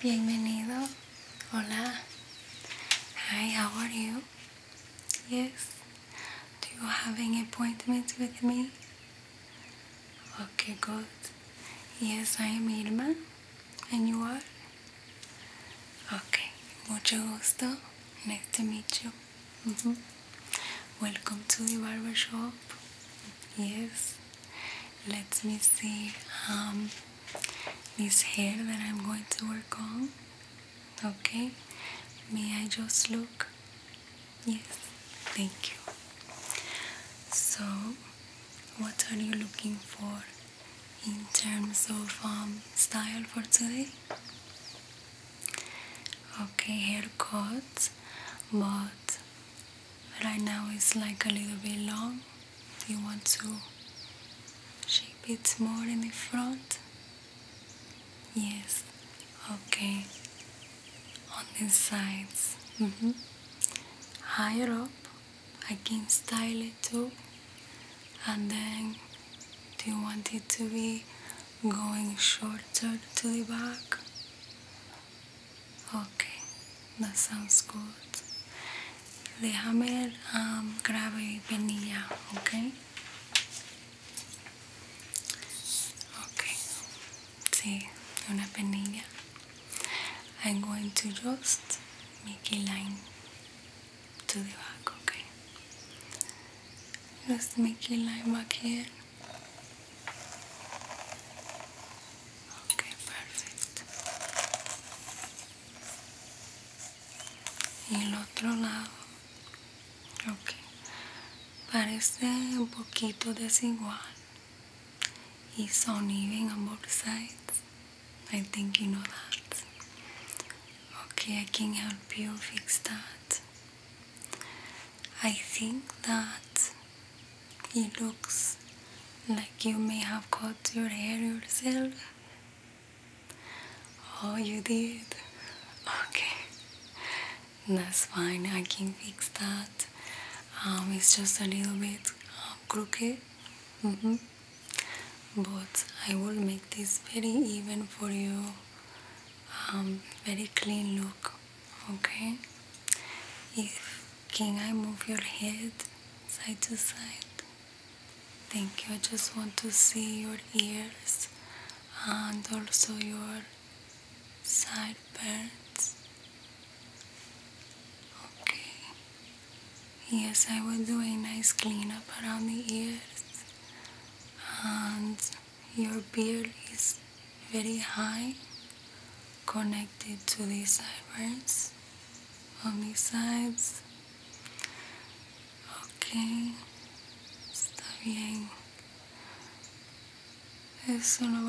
Bienvenido. Hola. Hi, how are you? Yes. Do you have any appointments with me? Okay, good. Yes, I am Irma. And you are? Okay. Mucho gusto. Nice to meet you. Mm-hmm. Welcome to the barber shop. Yes let me see um, this hair that I'm going to work on okay may I just look yes thank you so what are you looking for in terms of um, style for today okay haircut but right now it's like a little bit long do you want to shape it more in the front? Yes, okay. On the sides. Mm-hmm. Higher up, I can style it too. And then, do you want it to be going shorter to the back? Okay, that sounds good. Déjame um, grave y penilla, okay? Okay, sí, una penilla. I'm going to just make a line to the back, okay? Just make a line back here. Okay, perfecto. Y el otro lado. Ok. Parece un poquito desigual. Y son even on both sides. I think you know that. Okay, I can help you fix that. I think that it looks like you may have cut your hair yourself. Oh, you did? Okay. That's fine, I can fix that. Um, it's just a little bit uh, crooked. -hmm. But I will make this very even for you. Um, very clean look. Okay? If can I move your head side to side? Thank you. I just want to see your ears and also your sideburns. Okay. Yes, I will do a nice cleanup around the ears. And your beard is very high connected to the sideburns on these sides. Okay, está bien. Eso lo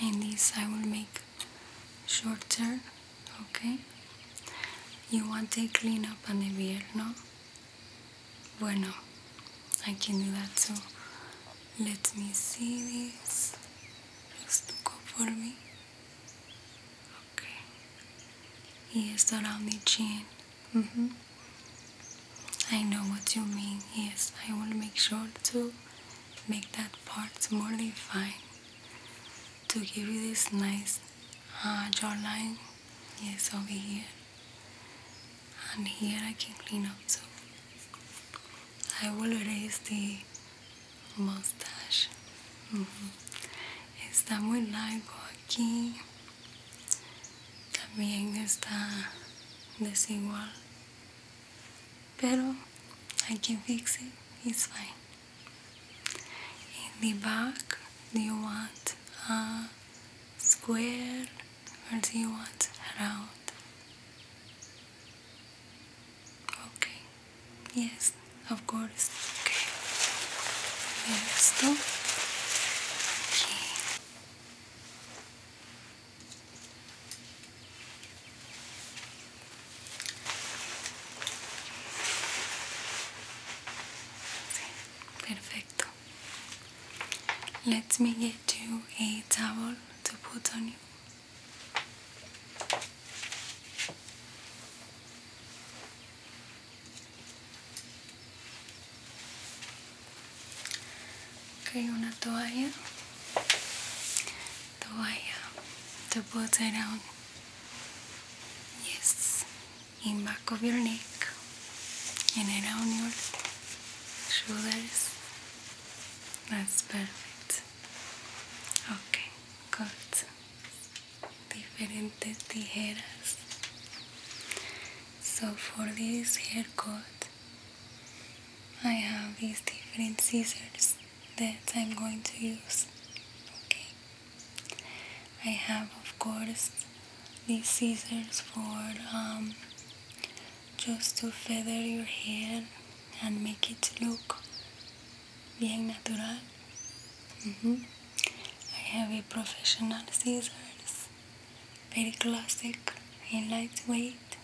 And this I will make shorter. Okay. You want a clean up and a beard, no? Bueno, I can do that too. Let me see this. Just look up for me. Okay. Yes, around the chin. I know what you mean. Yes, I want to make sure to make that part more defined to give you this nice uh, jawline. Yes, over here and here I can clean up So I will erase the mustache. Uh mm-hmm. -huh. Está muy largo aquí. También está desigual. Pero I can fix it. It's fine. In the back, do you want a square? Where do you want to head out? Okay, yes, of course. Okay, listo. Okay. perfecto. Let me get you a towel to put on you. Okay, una toalla. Toalla to put it on. Yes, in back of your neck and around your shoulders. That's perfect. Okay, good. Diferentes tijeras. So for this haircut, I have these different scissors that I'm going to use. Okay. I have, of course, these scissors for um, just to feather your hair and make it look bien natural mm-hmm. I have a professional scissors very classic and lightweight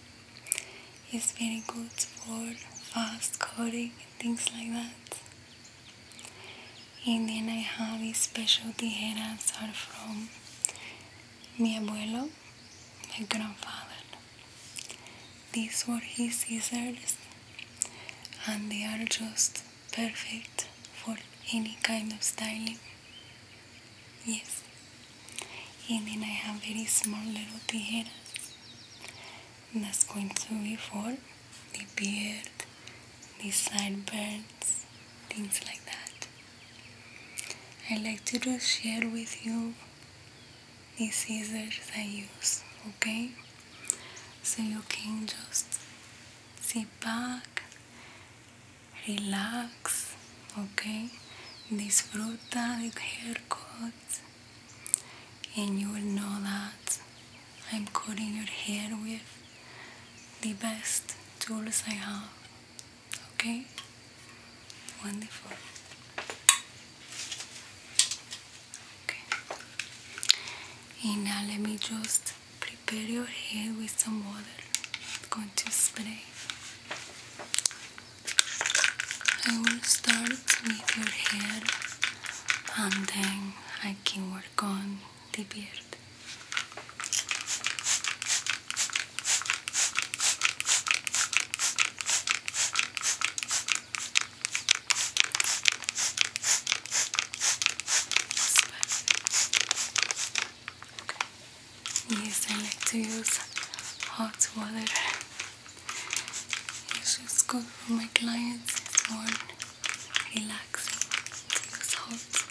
it's very good for fast cutting and things like that and then I have a specialty hair are from my abuelo, my grandfather. These were his scissors, and they are just perfect for any kind of styling. Yes. And then I have very small little tijeras. And that's going to be for the beard, the sideburns, things like that. I like to just share with you these scissors I use, okay? So you can just sit back, relax, okay? Disfruta the haircut and you will know that I'm cutting your hair with the best tools I have. Okay? Wonderful. Okay. And now let me just prepare your hair with some water. I'm going to spray. I will start with your hair and then I can work on the beard. Yes, I like to use hot water. It's good for my clients. It's more relaxing to hot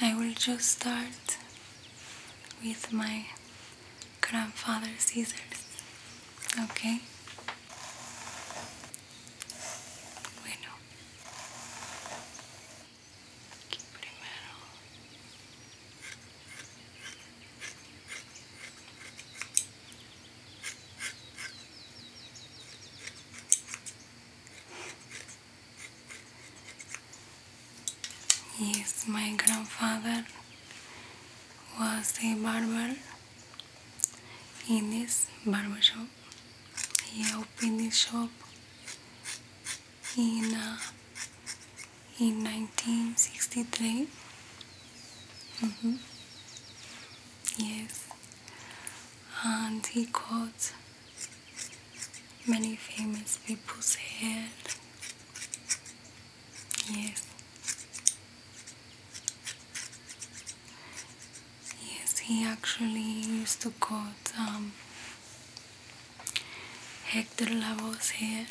I will just start with my grandfather's scissors, okay? Bueno, aquí primero. Yes, my grandfather was a barber in this barber shop. He opened this shop in uh, in 1963. Mm -hmm. Yes, and he cut many famous people's head. Yes. Yes, he actually used to cut um, Hector Lavoe's head.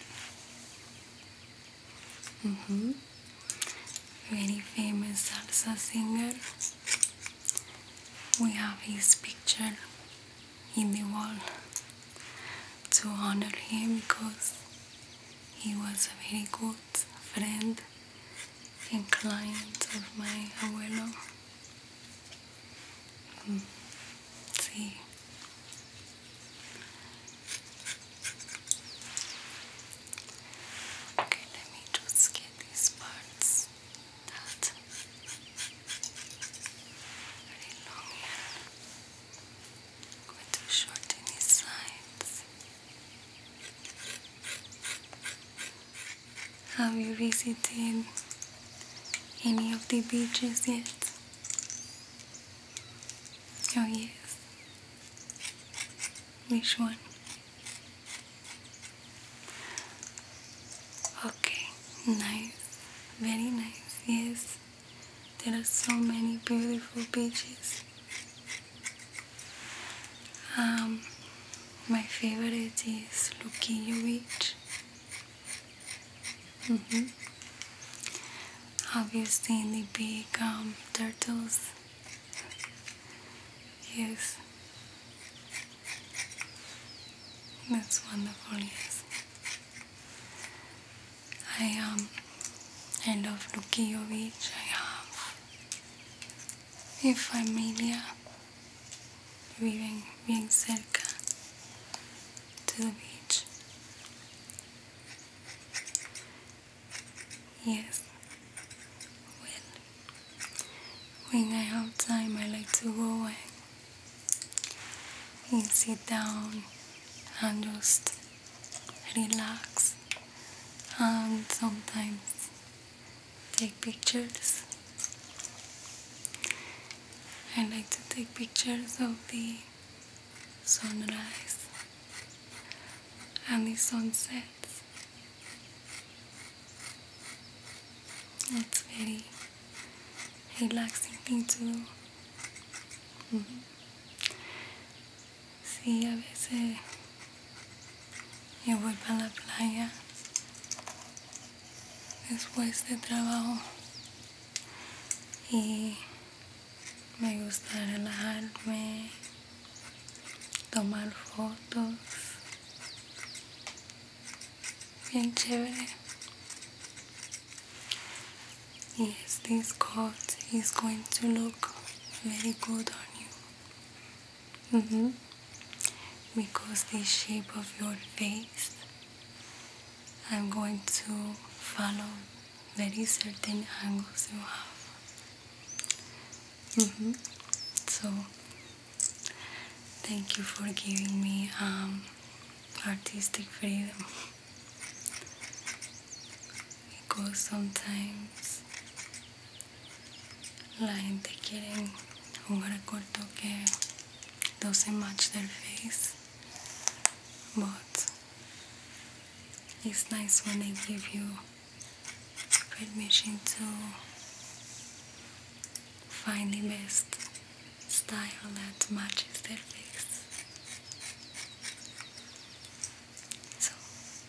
Mm -hmm. Very famous salsa singer we have his picture in the wall to honor him because he was a very good friend and client of my abuelo. Mm. Okay, let me just get these parts that very long hair. I'm going to his sides. Have you visited any of the beaches yet? Oh yes. Which one? Okay, nice, very nice, yes. There are so many beautiful beaches. Um, my favorite is Luquillo Beach. Mm -hmm. Have you seen the big um, turtles? Yes. That's wonderful, yes. I um I love Lukijovic, I have mi familia uh, viven bien cerca to the beach. Yes. Well when I have time, I like to go and sit down and just relax and sometimes take pictures. I like to take pictures of the sunrise and the sunsets es muy relaxing mm-hmm. Sí, a veces yo voy a la playa después de trabajo y me gusta relajarme, tomar fotos Yes, this coat is going to look very good on you. -hmm. Because the shape of your face, I'm going to follow very certain angles you have. -hmm. So Thank you for giving me um, artistic freedom. because sometimes la gente quiere jugar a corto que doesn't match their face. But it's nice when they give you permission to Find the best style that matches their face. So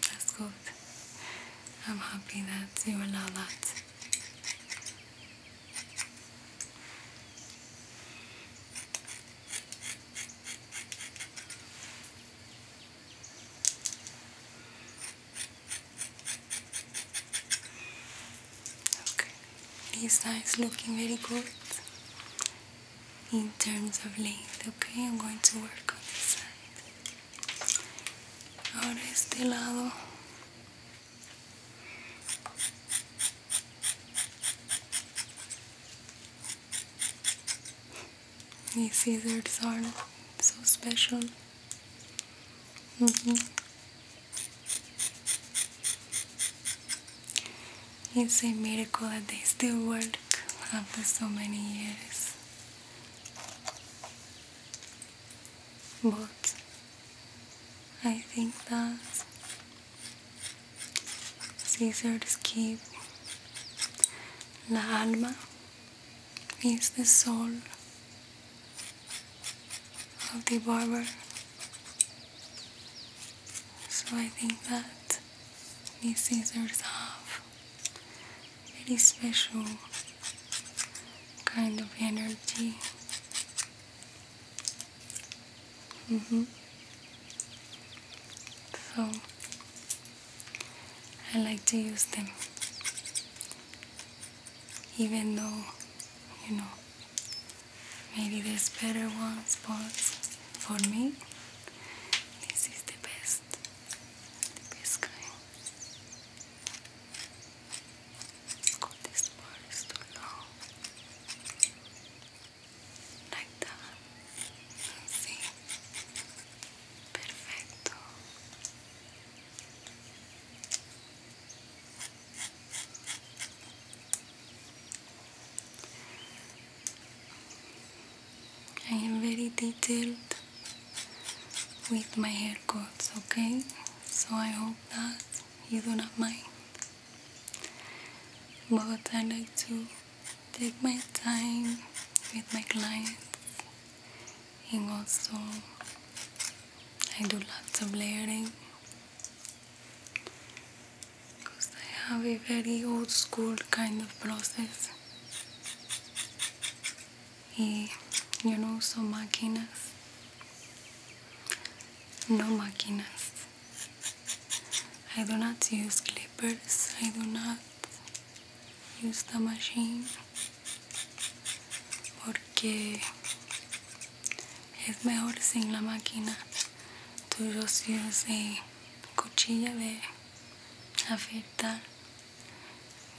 that's good. I'm happy that you allow that. Okay, this side is looking very good in terms of length. Okay, I'm going to work on this side. Ahora este lado. These scissors are so special. It's a miracle that they still work after so many years. But I think that Caesar's keep La Alma is the soul of the barber. So I think that these scissors have very special kind of energy. Mm -hmm. So I like to use them even though you know maybe there's better ones but for me this is the best the best kind Let's go this part is too long like I am very detailed with my haircuts, okay? So I hope that you do not mind. But I like to take my time with my clients and also I do lots of layering because I have a very old school kind of process y yo no uso máquinas no máquinas I do not use clippers I do not use the machine porque es mejor sin la máquina tú a cuchilla de afeitar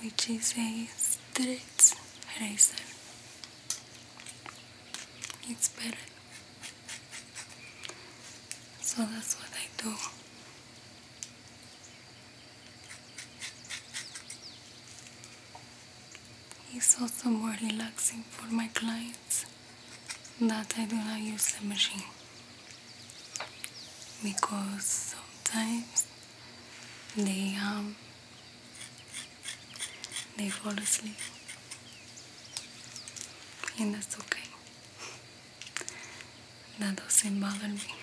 which is a straight razor it's better so that's what I do It's also more relaxing for my clients that I do not use the machine because sometimes they um they fall asleep and that's okay that doesn't bother me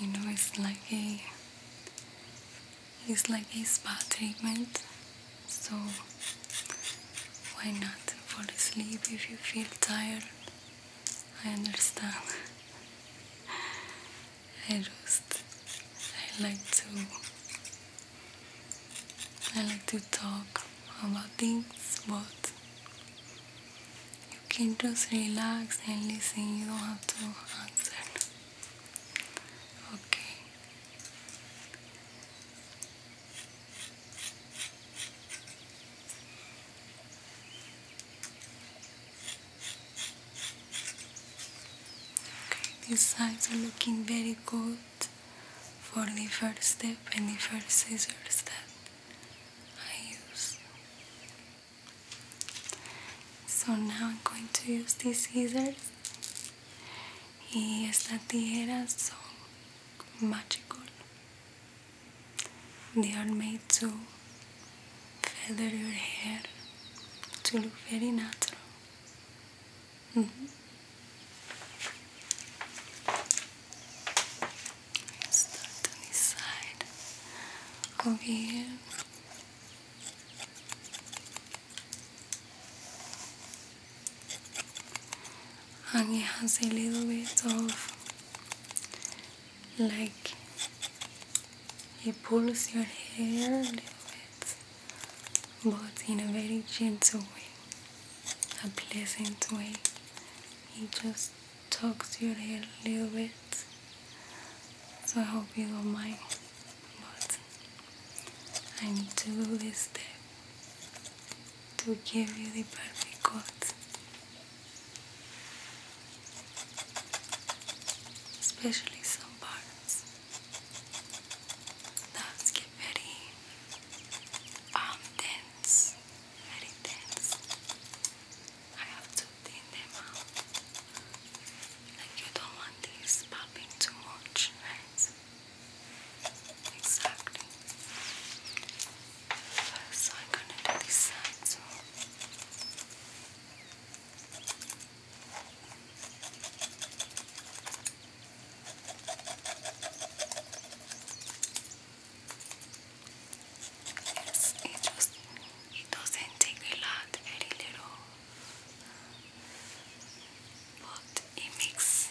you know it's like a it's like a spa treatment so why not fall asleep if you feel tired I understand I just I like to I like to talk about things but you can just relax and listen, you don't have to answer. Okay. Okay, these sides are looking very good for the first step and the first scissors step I use. So now I'm going to use these scissors. Y tijeras son magical. They are made to feather your hair to look very natural. Mm Start on this side over and it has a little bit of like he pulls your hair a little bit but in a very gentle way a pleasant way He just tugs your hair a little bit so I hope you don't mind but I need to do this step to give you the perfect cut especially some parts that get very um, tense very tense I have to thin them out. Like you don't want these popping too much, right? Exactly. So I'm gonna do this side it just it doesn't take a lot, very little, but it makes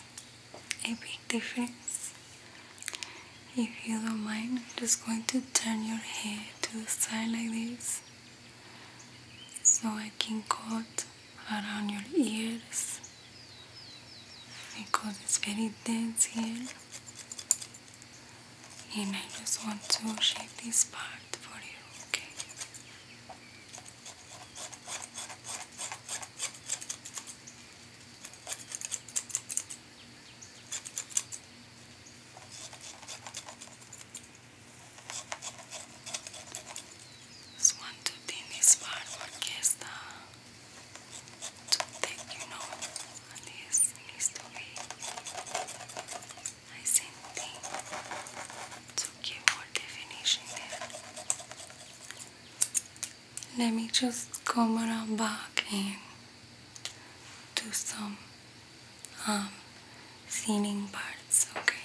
a big difference. If you don't mind, I'm just going to turn your head to the side like this so I can cut around your ears because it's very dense here and I just want to shape this part for you, okay? Just want to thin this part because the toothpick, you know, this history. I sent them to give more definition Let me just come around back and do some um, thinning parts, okay?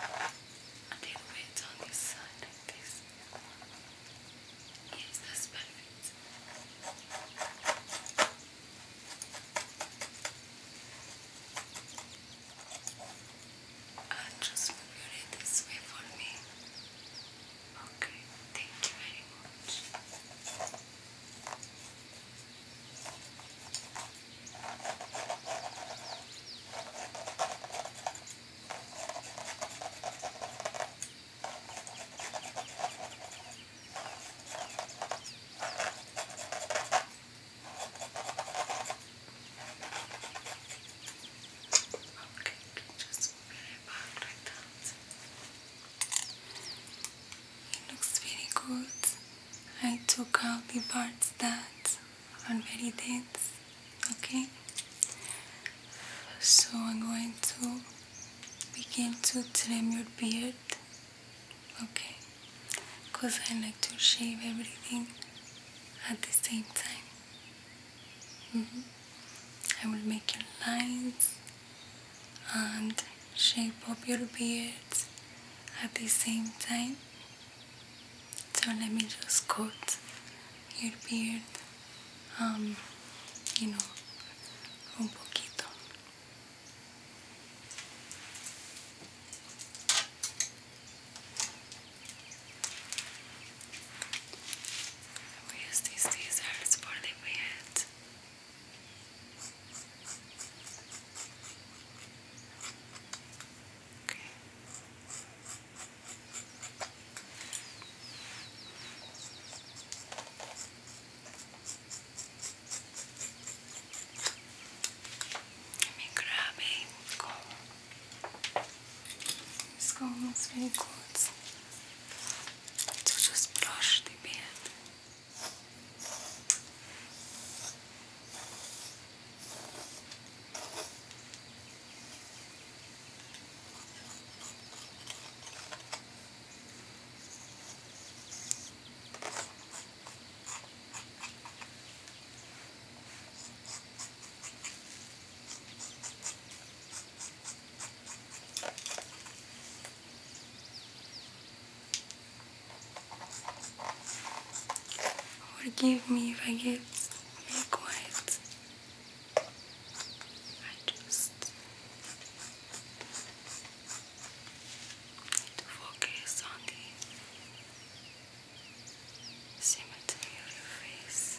A little bit on this side like this. Yes, that's perfect. Uh, just move it this way for me. Okay, thank you very much. Okay, just put it back It looks very good. I took out the parts that are very dense. Okay, so I'm going to begin to trim your beard okay because I like to shave everything at the same time mm-hmm. I will make your lines and shape up your beard at the same time so let me just cut your beard um, you know, un poquito. Voy a usar these scissors for the bed. Okay. Let me grab a comb. This comb is very good to just brush the beard. Okay. Forgive me if I get very quiet. I just to focus on the symmetry of your face.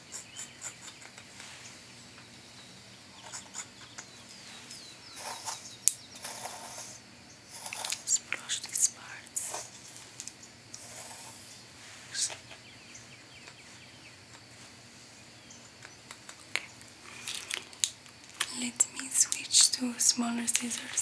Splash parts. Okay. Let me switch to smaller scissors.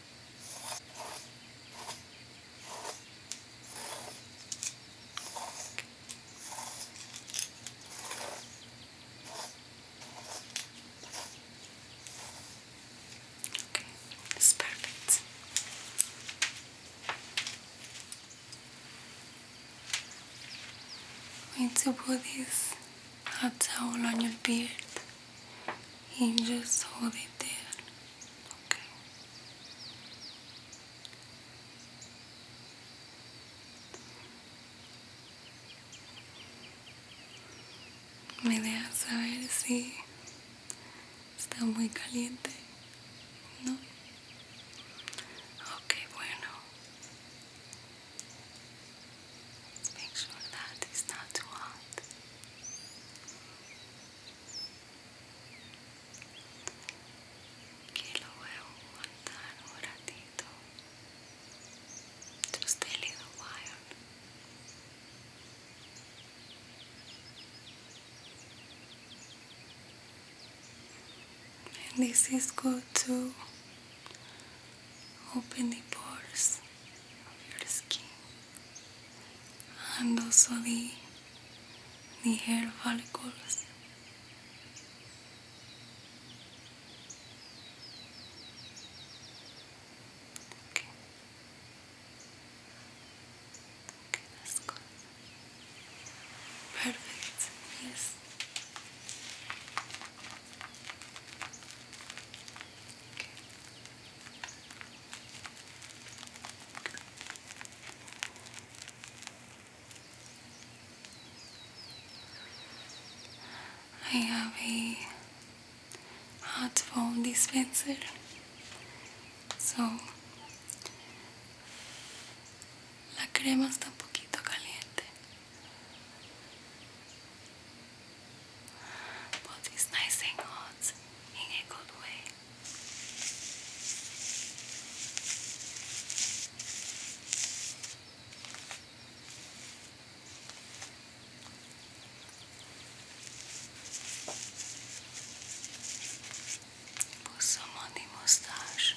Okay, it's perfect. Need to put this hot towel on your beard. He just hold it there. Okay. Me deja saber si está muy caliente. No. Okay, bueno. Let's make sure that it's not too hot. que lo voy a aguantar un and this is good to open the pores of your skin and also the, the hair follicles. Okay. Okay, that's Perfect, yes. I have a hot phone dispenser, so la crema está un poquito caliente. but it's nice and hot in a good way. Put some on the mustache.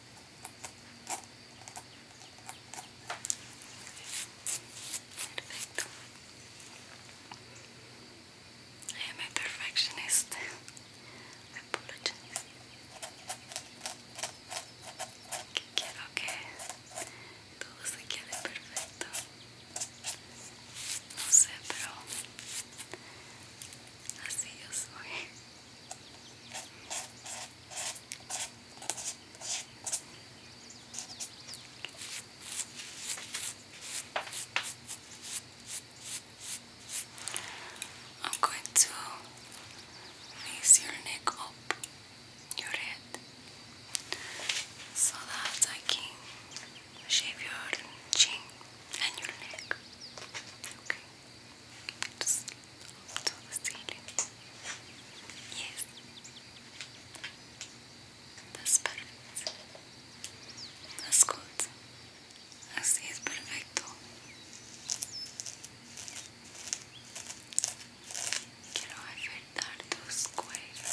Perfecto. I me a perfectionist. Que quiero que todo se quede perfecto. No sé, pero así yo soy. I'm going to raise your neck up, your head, so that I can shave your chin and your neck. Okay. Just to the ceiling. Yes. That's perfect. That's good. Así es perfecto. Quiero afectar tus cuellos.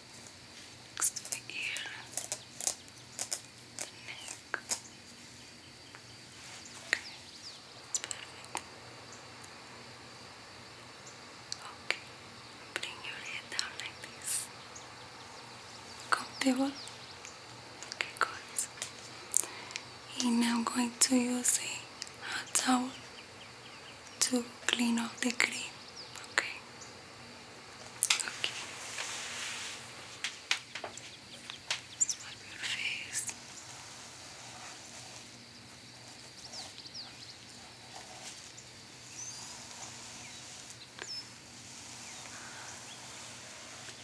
next to the ear, the neck. Okay, it's perfect. Okay, bring your head down like this. Comfortable? Okay, good. And now I'm going to use a towel to clean off the cream. Okay. Okay. Swap your face.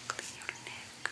Clean your neck.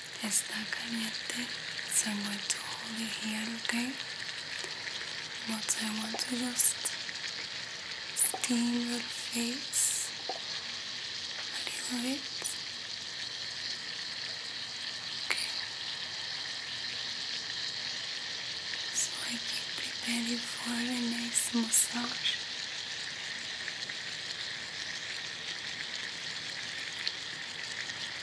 está caliente, so I'm going to hold it here, okay? What I want to just steam your face a Okay. So I keep preparing for a nice massage.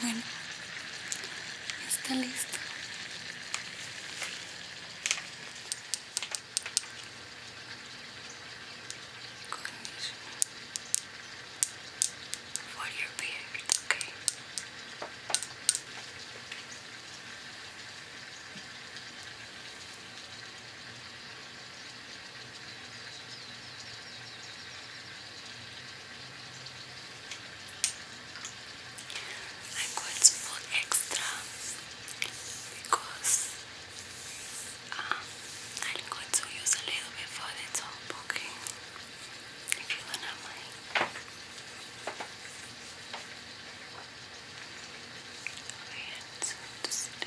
Bueno, está listo. For your beard, okay. I got more extra because um, I'm going to use a little bit for the top, okay? If you don't have mine. Wait, so just do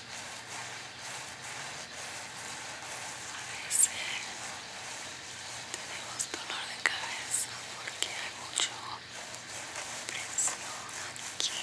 A veces tenemos dolor de cabeza porque hay mucho presión aquí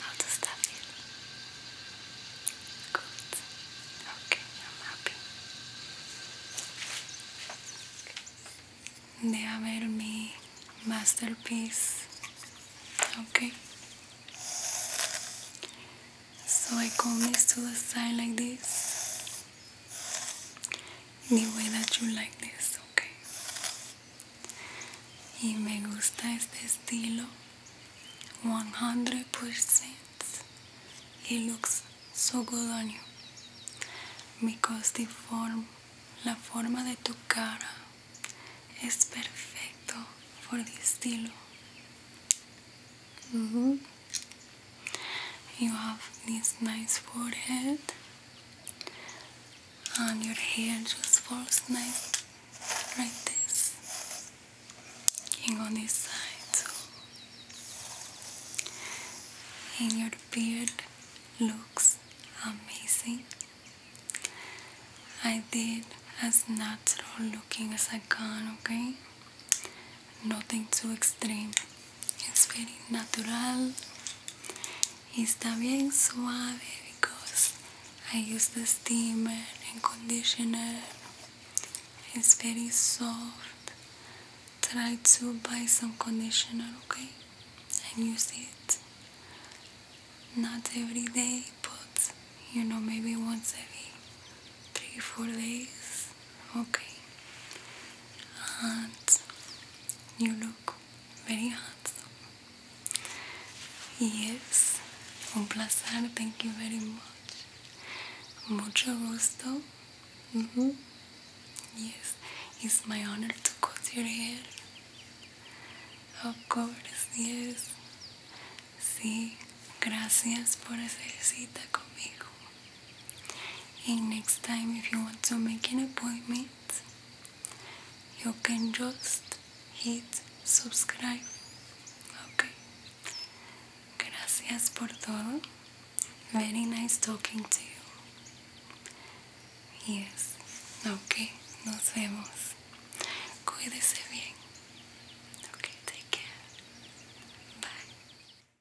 How does that feel? Good. Okay, I'm happy. De haber mi masterpiece. Okay. So I comb this to the side like this. the way that you like this, ok. Y me gusta este estilo 100%. It looks so good on you. Because the form, la forma de tu cara es perfecto for this estilo. Mm You have this nice forehead, and your hair just falls nice like this, and on this side. So. And your beard looks amazing. I did as natural looking as I can, okay? nothing too extreme. It's very natural. Está bien suave because I use the steamer and conditioner. It's very soft. Try to buy some conditioner, okay? And use it. Not every day, but you know, maybe once every three, four days. Okay. And you look very handsome. Yes, un placer, thank you very much. Mucha gusto. Mm -hmm. Yes, it's my honor to cut your hair. Of course, yes. Sí, gracias por hacer cita conmigo. And next time, if you want to make an appointment, you can just hit subscribe. Okay. Gracias por todo. Very nice talking to you. Yes. Okay. Nos vemos. Cuídese bien. Okay. Take care. Bye.